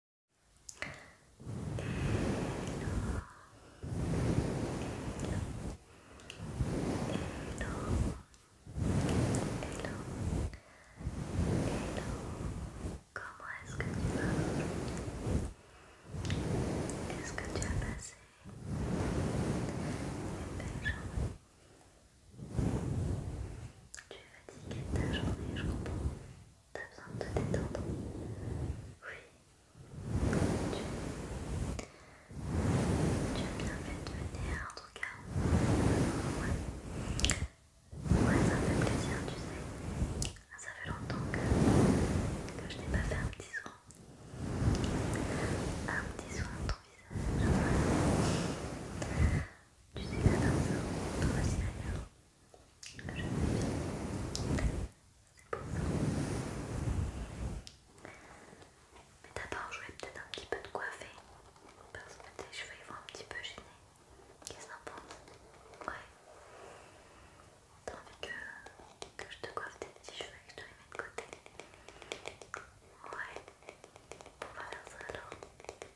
hello. hello, hello, hello, Comment est-ce que tu vas Est-ce que tu as passé une belle journée tu as fatiguée de ta journée, je comprends. T'as besoin de te détendre Oui. Tu, tu as bien fait de venir en tout cas. Ouais. Ouais, ça me fait plaisir, tu sais. Ça fait longtemps que, que je n'ai pas fait un petit soin. Un petit soin de ton visage. Tu sais, j'adore ça. Toi s'y d'ailleurs c'est Mais d'abord, je vais peut-être un petit peu te coiffer parce que tes cheveux ils vont un petit peu gêner. Qu'est-ce que t'en penses Ouais. T'as envie que, je te coiffe tes petits cheveux et que je te les mets de côté Ouais. On va bah, faire ça alors.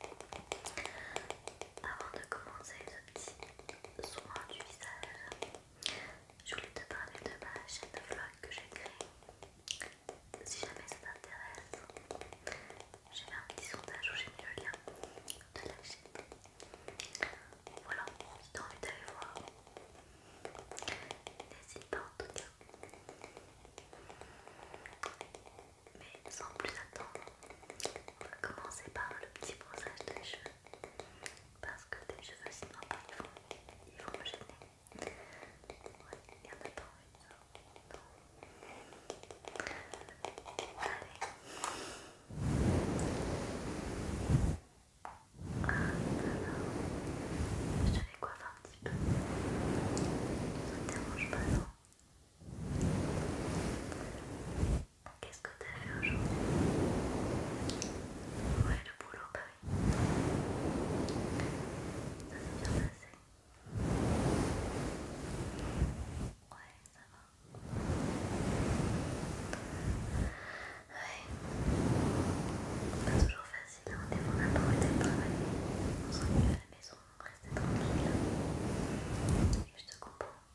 Avant de commencer ce petit soin du visage, je voulais te parler de ma chaîne de vlog que j'ai créée. Si jamais ça t'intéresse, j'ai fait un petit sondage où j'ai mis le lien de la chaîne. Voilà, si t'as envie d'aller voir, n'hésite pas en tout cas mais sans plus attendre, on va commencer par le petit brossage des cheveux parce que tes cheveux sinon ils vont, ils vont me gêner. Ouais, il y en a pas envie ça. Non. Allez. Ah, alors, je les coiffer un petit peu. Ça ne dérange pas, non. Qu'est-ce que t'as fait aujourd'hui Ouais, le boulot, bah oui. Ça s'est bien passé. Ouais, ça va. Ouais. Pas toujours facile, hein. on est pas envie d'aller travailler. On s'ennuie à la maison, on reste tranquille. Et je te comprends. Ouais,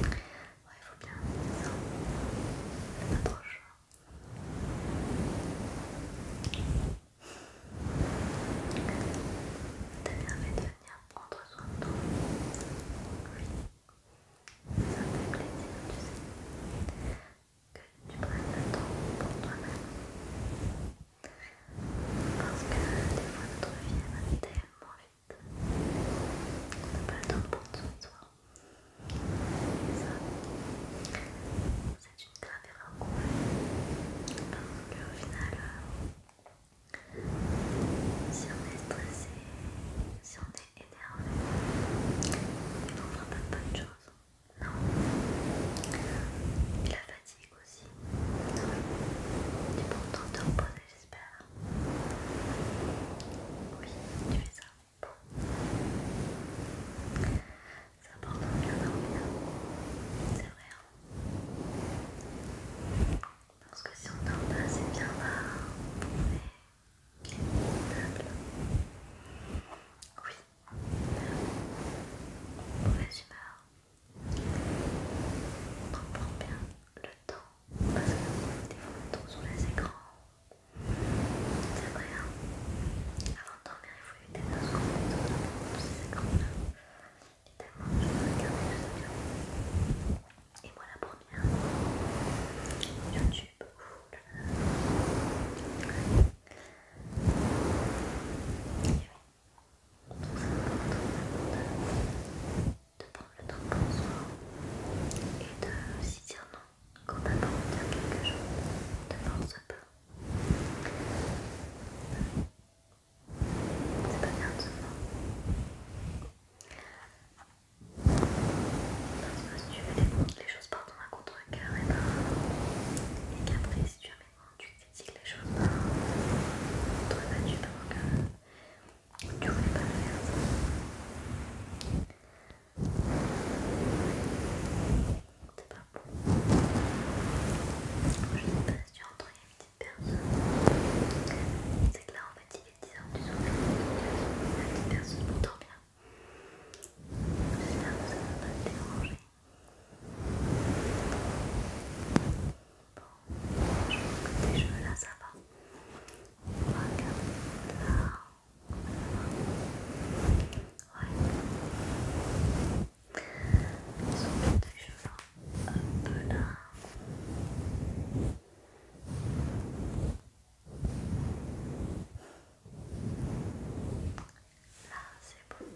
il faut bien ça. Pas trop T'as bien fait de venir prendre soin de toi. Oui. Ça me fait plaisir, tu sais que tu prennes le temps pour toi-même. Parce que des fois notre vie elle va tellement vite. qu'on n'a pas le temps de prendre soin de soi. Et ça, c'est une grave erreur qu'on fait. Parce qu'au final, si on est stressé, si on est énervé, on ne fera pas de bonnes choses. Non. Et la fatigue aussi. Tu es t'en temps te j'espère. Oui, tu fais ça. Bon. C'est important de bien dormir. C'est vrai. Hein. Parce que si on dort pas c'est bien, bah, mais Oui, mauvaise humeur. on prend bien le temps parce que des fois on tombe sur les écrans. C'est vrai, hein Avant de dormir, il faut éviter de se concentrer sur ces écrans-là. Évidemment, je vais regarder les avions. Et moi la première, YouTube, de prendre le temps pour soi et de s'y dire non quand t'as pas envie de dire quelque chose, ne force pas. C'est pas bien de se faire. Parce que si tu veux les, choses par ton à contre-cœur, et, ben, et qu'après si tu fermement tu critiques les choses par tu battu pendant que tu voulais pas le faire c'est pas bon je sais pas si tu entends une petite personne c'est que là en fait il est 10h du soir la petite personne m'entend bien j'espère que ça ne va pas te déranger je je que tes cheveux là, ça va. Regarde là. Ouais. Ils sont bien un peu là. Là, c'est beau.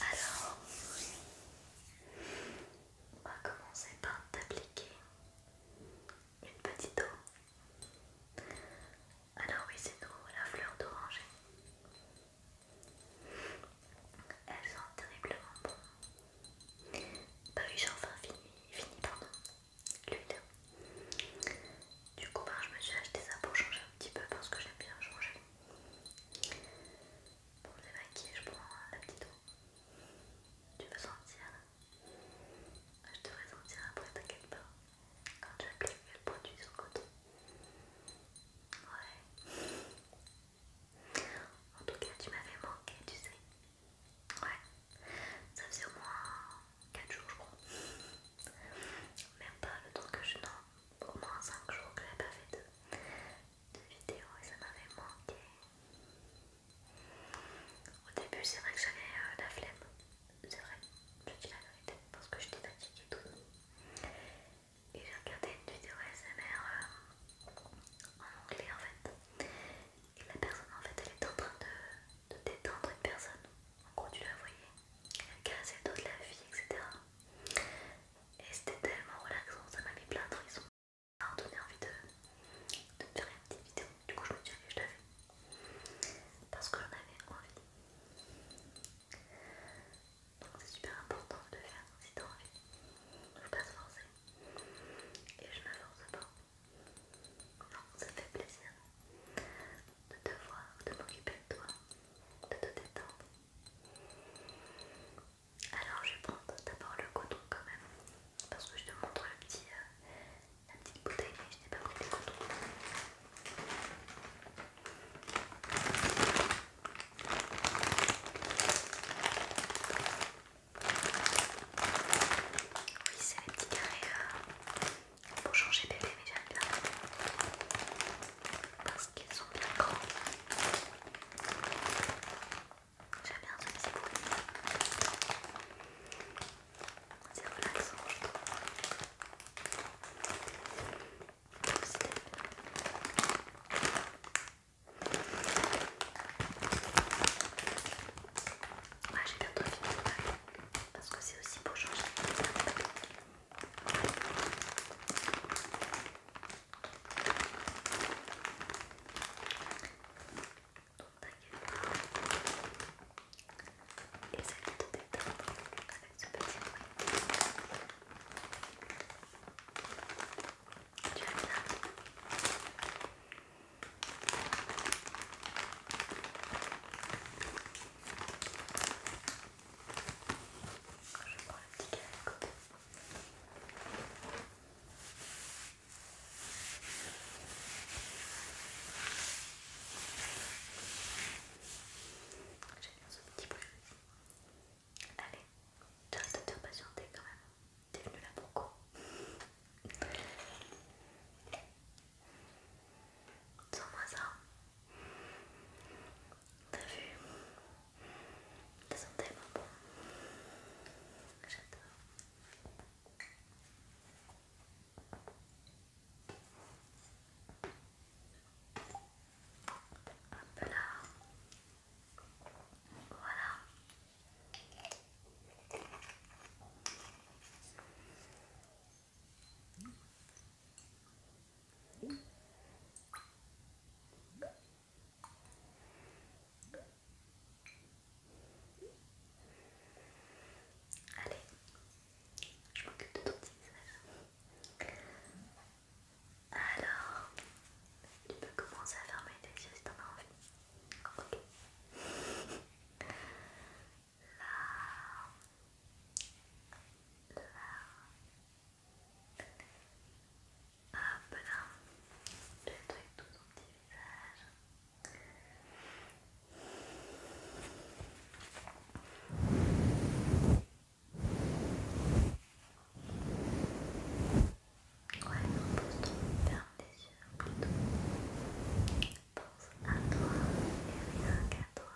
Alors, on va commencer par t'appliquer une petite eau. Alors oui, c'est nous, la fleur d'oranger. Elle sent terriblement bon. Bah oui, j'ai enfin fini, fini pardon, l'huile. Du coup, ben, je me suis acheté ça pour changer un petit peu parce que j'aime bien changer. Pour les maquillages je prends la petite eau. Tu veux sentir ben, Je te sentir après, t'inquiète pas. Quand tu appliques le produit sur le côté. Ouais. En tout cas, tu m'avais manqué, tu sais. Ouais. Ça faisait au moins 4 jours je crois. Même pas le temps que je n'en au moins 5 jours que j'avais pas fait de, de vidéo et ça m'avait manqué. Au début c'est vrai que j'avais euh, la flemme, c'est vrai, je dis la vérité parce que j'étais fatiguée tout. Et j'ai regardé une vidéo SMR euh, en anglais en fait. Et la personne en fait elle est en train de de détendre une personne. En gros, tu la voyais, casser le dos de la vie, etc. Et c'était tellement relaxant, ça m'a mis plein de frissons. Ça m'a donné envie de, me faire une petite vidéo. Du coup, je me suis dit que je l'avais. Parce que j'en avais envie. Donc, c'est super important de le faire si t'as envie. Faut pas se forcer. Et je me force pas. Non, ça me fait plaisir de te voir, de m'occuper de toi, de te détendre. Alors je vais prendre d'abord le coton quand même, parce que je te montre euh, la petite bouteille, mais je n'ai pas pris le coton. Oui, c'est la petits carrés pour changer bébé, mais j'aime bien parce qu'ils sont bien grands. J'aime bien ce petit bruit. C'est relaxant, je trouve. c'est Ouais, j'ai bientôt fini parce que c'est aussi pour changer donc t'inquiète pas tout détendre avec ce petit tu je prends le petit carré à côté. J'aime bien ce petit bruit. Allez, tu de te patienter quand même. T'es venu là pour quoi Sens-moi ça. T'as vu bon. J'adore. peu là. Voilà. Allez, je m'occupe de ton petit visage. Alors, tu peux commencer à fermer les yeux si t'en as envie. Ok là, là, hop là, le truc tout son petit visage. Ouais, on pose ton ferme les yeux plutôt pense à toi et rien qu'à toi.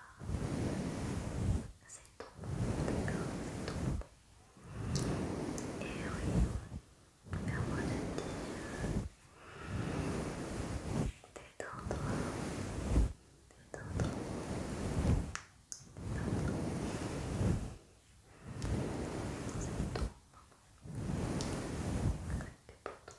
C'est ton monde, d'accord C'est ton monde. Et oui, permets-moi je te dire détends-toi, détends-toi, détends-toi. C'est ton moment. Rien que pour toi.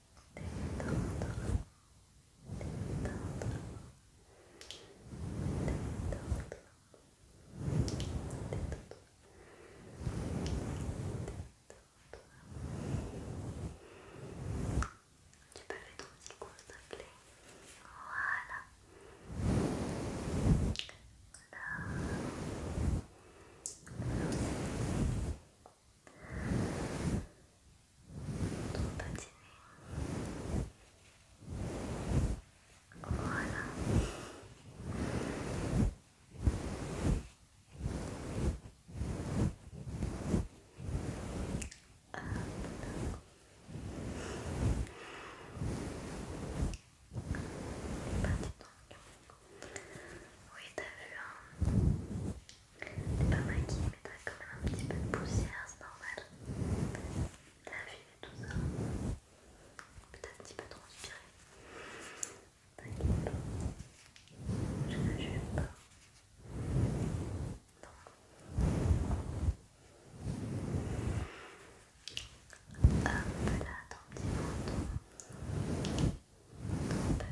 Tu peux aussi quoi s'il plaît Voilà Trop patiné. Voilà. Oui, t'as vu, c'est pas maquillé, mais t'as quand même un petit peu de poussière, c'est normal. La vue et tout ça. Peut-être un petit peu transpiré. T'inquiète pas. Je ne pas. Non. Hop là, ton petit menton. Ton petit menton.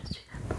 Je suis là pour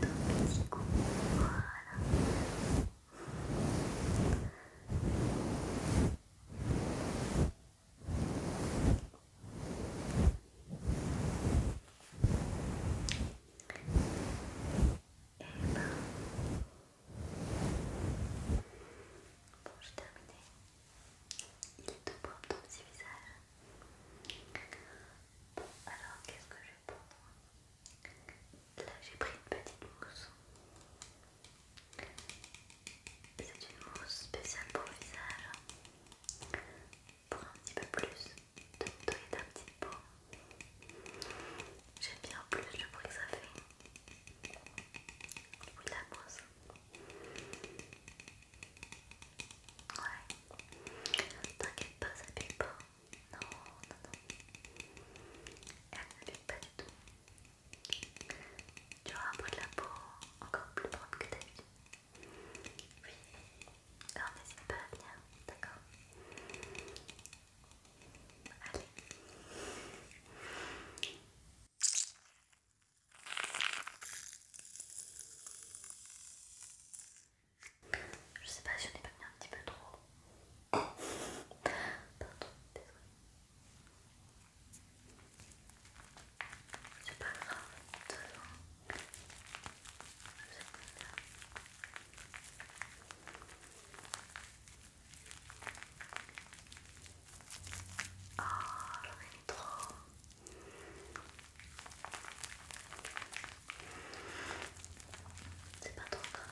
Deux petits coups, voilà. Et ben, bon, j'ai terminé. Il est tout propre ton petit visage alors qu'est-ce que je pour Là, j'ai pris une petite mousse. C'est une mousse spéciale pour le visage, pour un petit peu plus de et d'un petit peau. J'aime bien plus le bruit que ça fait. Le la mousse. Ouais. T'inquiète pas, ça pique pas. Non, non, non. Elle ne pique pas du tout. Tu auras un peu de la peau encore plus propre que d'habitude, Oui. Alors n'hésite pas à venir, d'accord Allez. Je sais pas si on est pas mis un petit peu trop. Pardon, désolé. C'est pas grave, de Oh, j'en ai mis trop. C'est pas trop grave.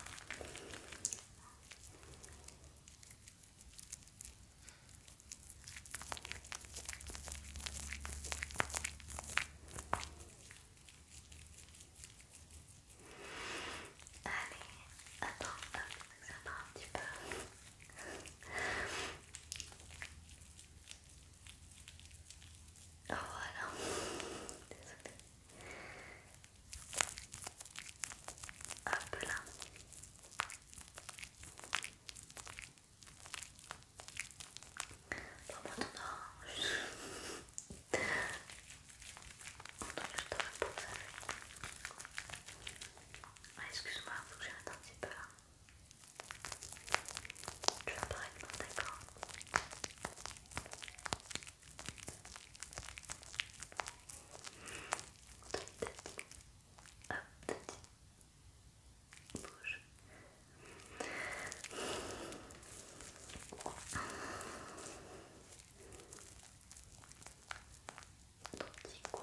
Allez, attends, ça part un petit peu. Voilà. Désolée. Hop là. Bon, maintenant, je... Maintenant, je te repose avec. Ah, Excuse-moi, faut que j'arrête un petit peu là. Tu es parfaitement d'accord. bouge. petit cou.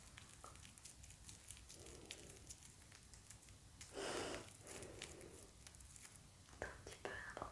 un petit peu de Détends-toi.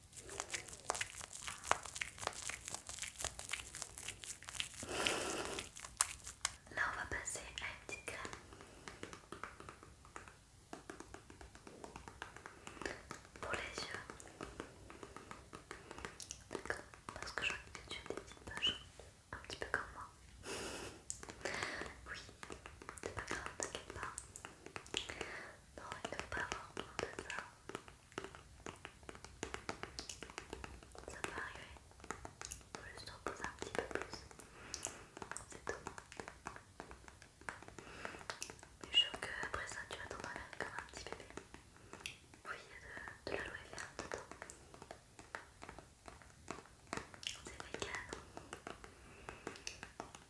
Là, on va passer à une petite crème. Pour les yeux. D'accord Parce que je vois que tu as des petites poches. Un petit peu comme moi. oui, c'est pas grave, t'inquiète pas. Non, il ne faut pas avoir honte de ça. Ça peut arriver. il faut juste reposer un petit peu plus. C'est tout. Mais je suis sûre qu'après ça, tu vas t'en aller comme un petit bébé. Oui, il y a de, de l'aloe vera dedans. C'est vegan.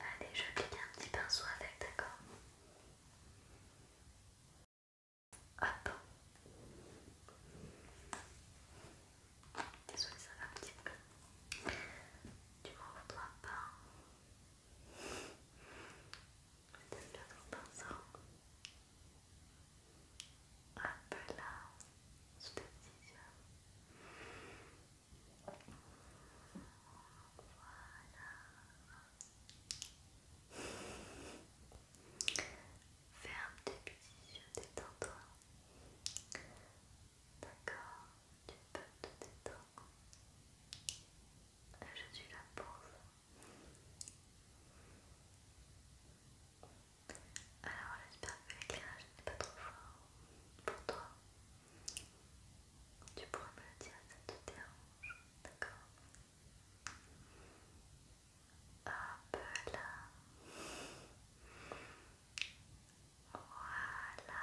Allez, je clique un petit pinceau avec, d'accord Hop Désolée, ça va un petit peu. Tu m'en Je pas. T'aimes bien ton pinceau un peu là sous tes petits yeux. Voilà. Ferme tes petits yeux, détends-toi. D'accord, tu peux te détendre. Je suis là pour ça. Alors j'espère que l'éclairage n'est pas trop fort pour toi. Tu pourrais me le dire, ça te dérange, d'accord Hop là Voilà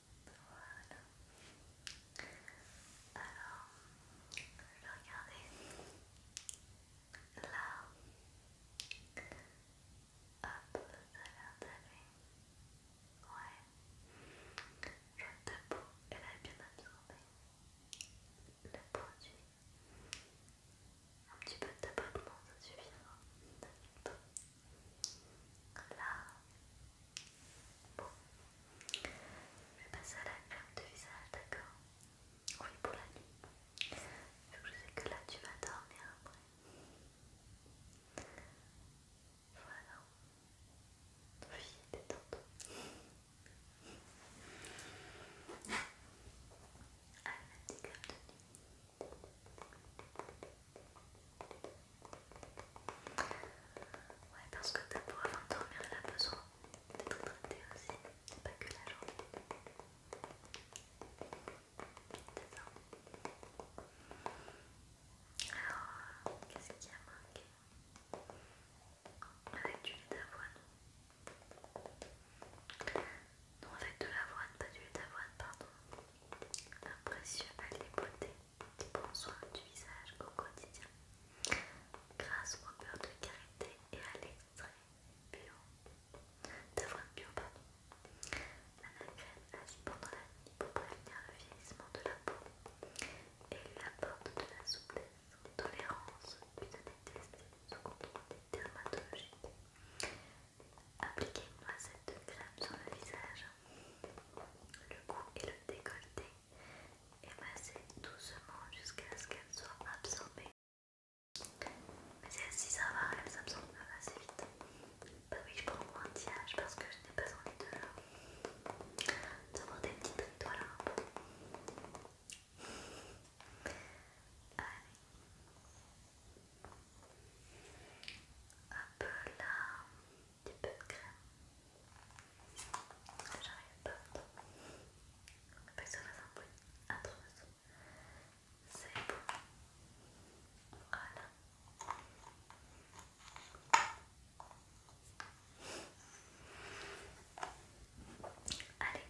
Voilà. Alors, je vais regarder là. Hop, ça a l'air d'aller. Ouais. je ta elle a bien absorbé le produit. Un petit peu de tapotement, ça suffira. Là, Bon. Je vais passer à la crème de visage, d'accord Oui, pour la nuit. que je sais que là tu vas dormir après. Voilà. Oui, détends-toi. Allez, la petite crème de nuit. Ouais, parce que ta peau avant de dormir, elle a besoin d'être traitée aussi, pas que la journée. Alors, qu'est-ce y a manqué Avec du lait d'avoine. Non, avec de l'avoine, pas du lait d'avoine, pardon. Impressionnel les des bons soins du visage au quotidien grâce au beurre de karité et à l'extrait bio d'avoine bio pardon. L'anagraine agit pendant la nuit pour prévenir le vieillissement de la peau et lui apporte de la souplesse, de tolérance puis de détester sous contrôle des dermatologiques. Appliquez une noisette de crème sur le visage, le cou et le décolleté et masser doucement jusqu'à ce qu'elle soit absorbée. Mais celle ça va, elle s'absorbe assez vite. Bah oui, je prends mon tirage parce que je n'ai pas envie de d'avoir des petites étoiles là. Un peu. Allez. là des peu de crème. J'arrive pas va Pas que ça un C'est bon. Voilà. Allez.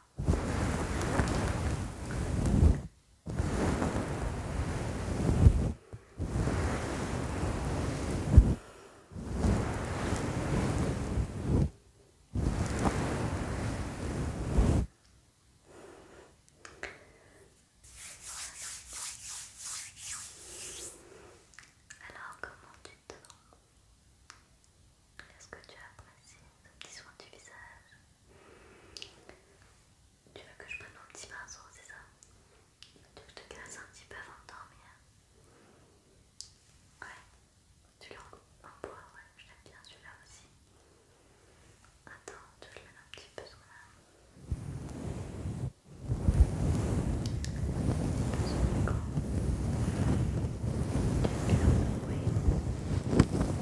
Alors, comment tu te sens Est-ce que tu as apprécies ce petit soin du visage tu veux que je prenne mon petit pinceau, c'est ça Tu veux que je te glace un petit peu avant de dormir Ouais, tu l'as en bois, ouais, je l'aime bien celui-là aussi. Attends, tu veux que je mette un petit peu sur la... Sur Oui.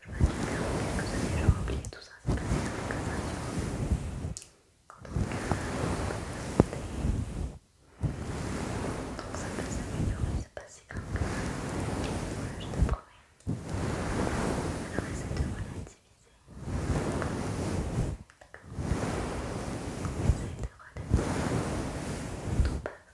Je m'inquiète quelques années, j'aurais oublié tout ça. C'est passé quelques années. Quand on se Donc ça peut s'améliorer, c'est passé quelques années. Voilà, je te promets. Alors essaie de relativiser. D'accord Essaye de relativiser. Tout peur.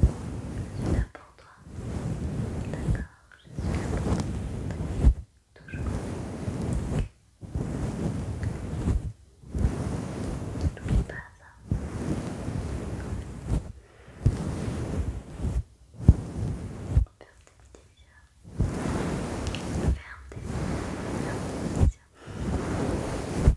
Je suis là pour toi. D'accord, je suis là pour toi. Toujours. N'oublie pas ça. Ferme tes petits yeux. Ferme tes, ferme tes petits yeux.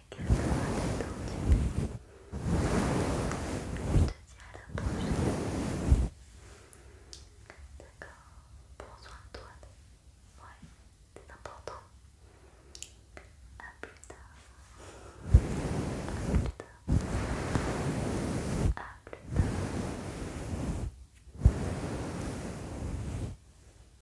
Je te dis à la prochaine. D'accord Prends soin de toi. Ouais, c'est important. A plus tard. A plus tard. A plus tard.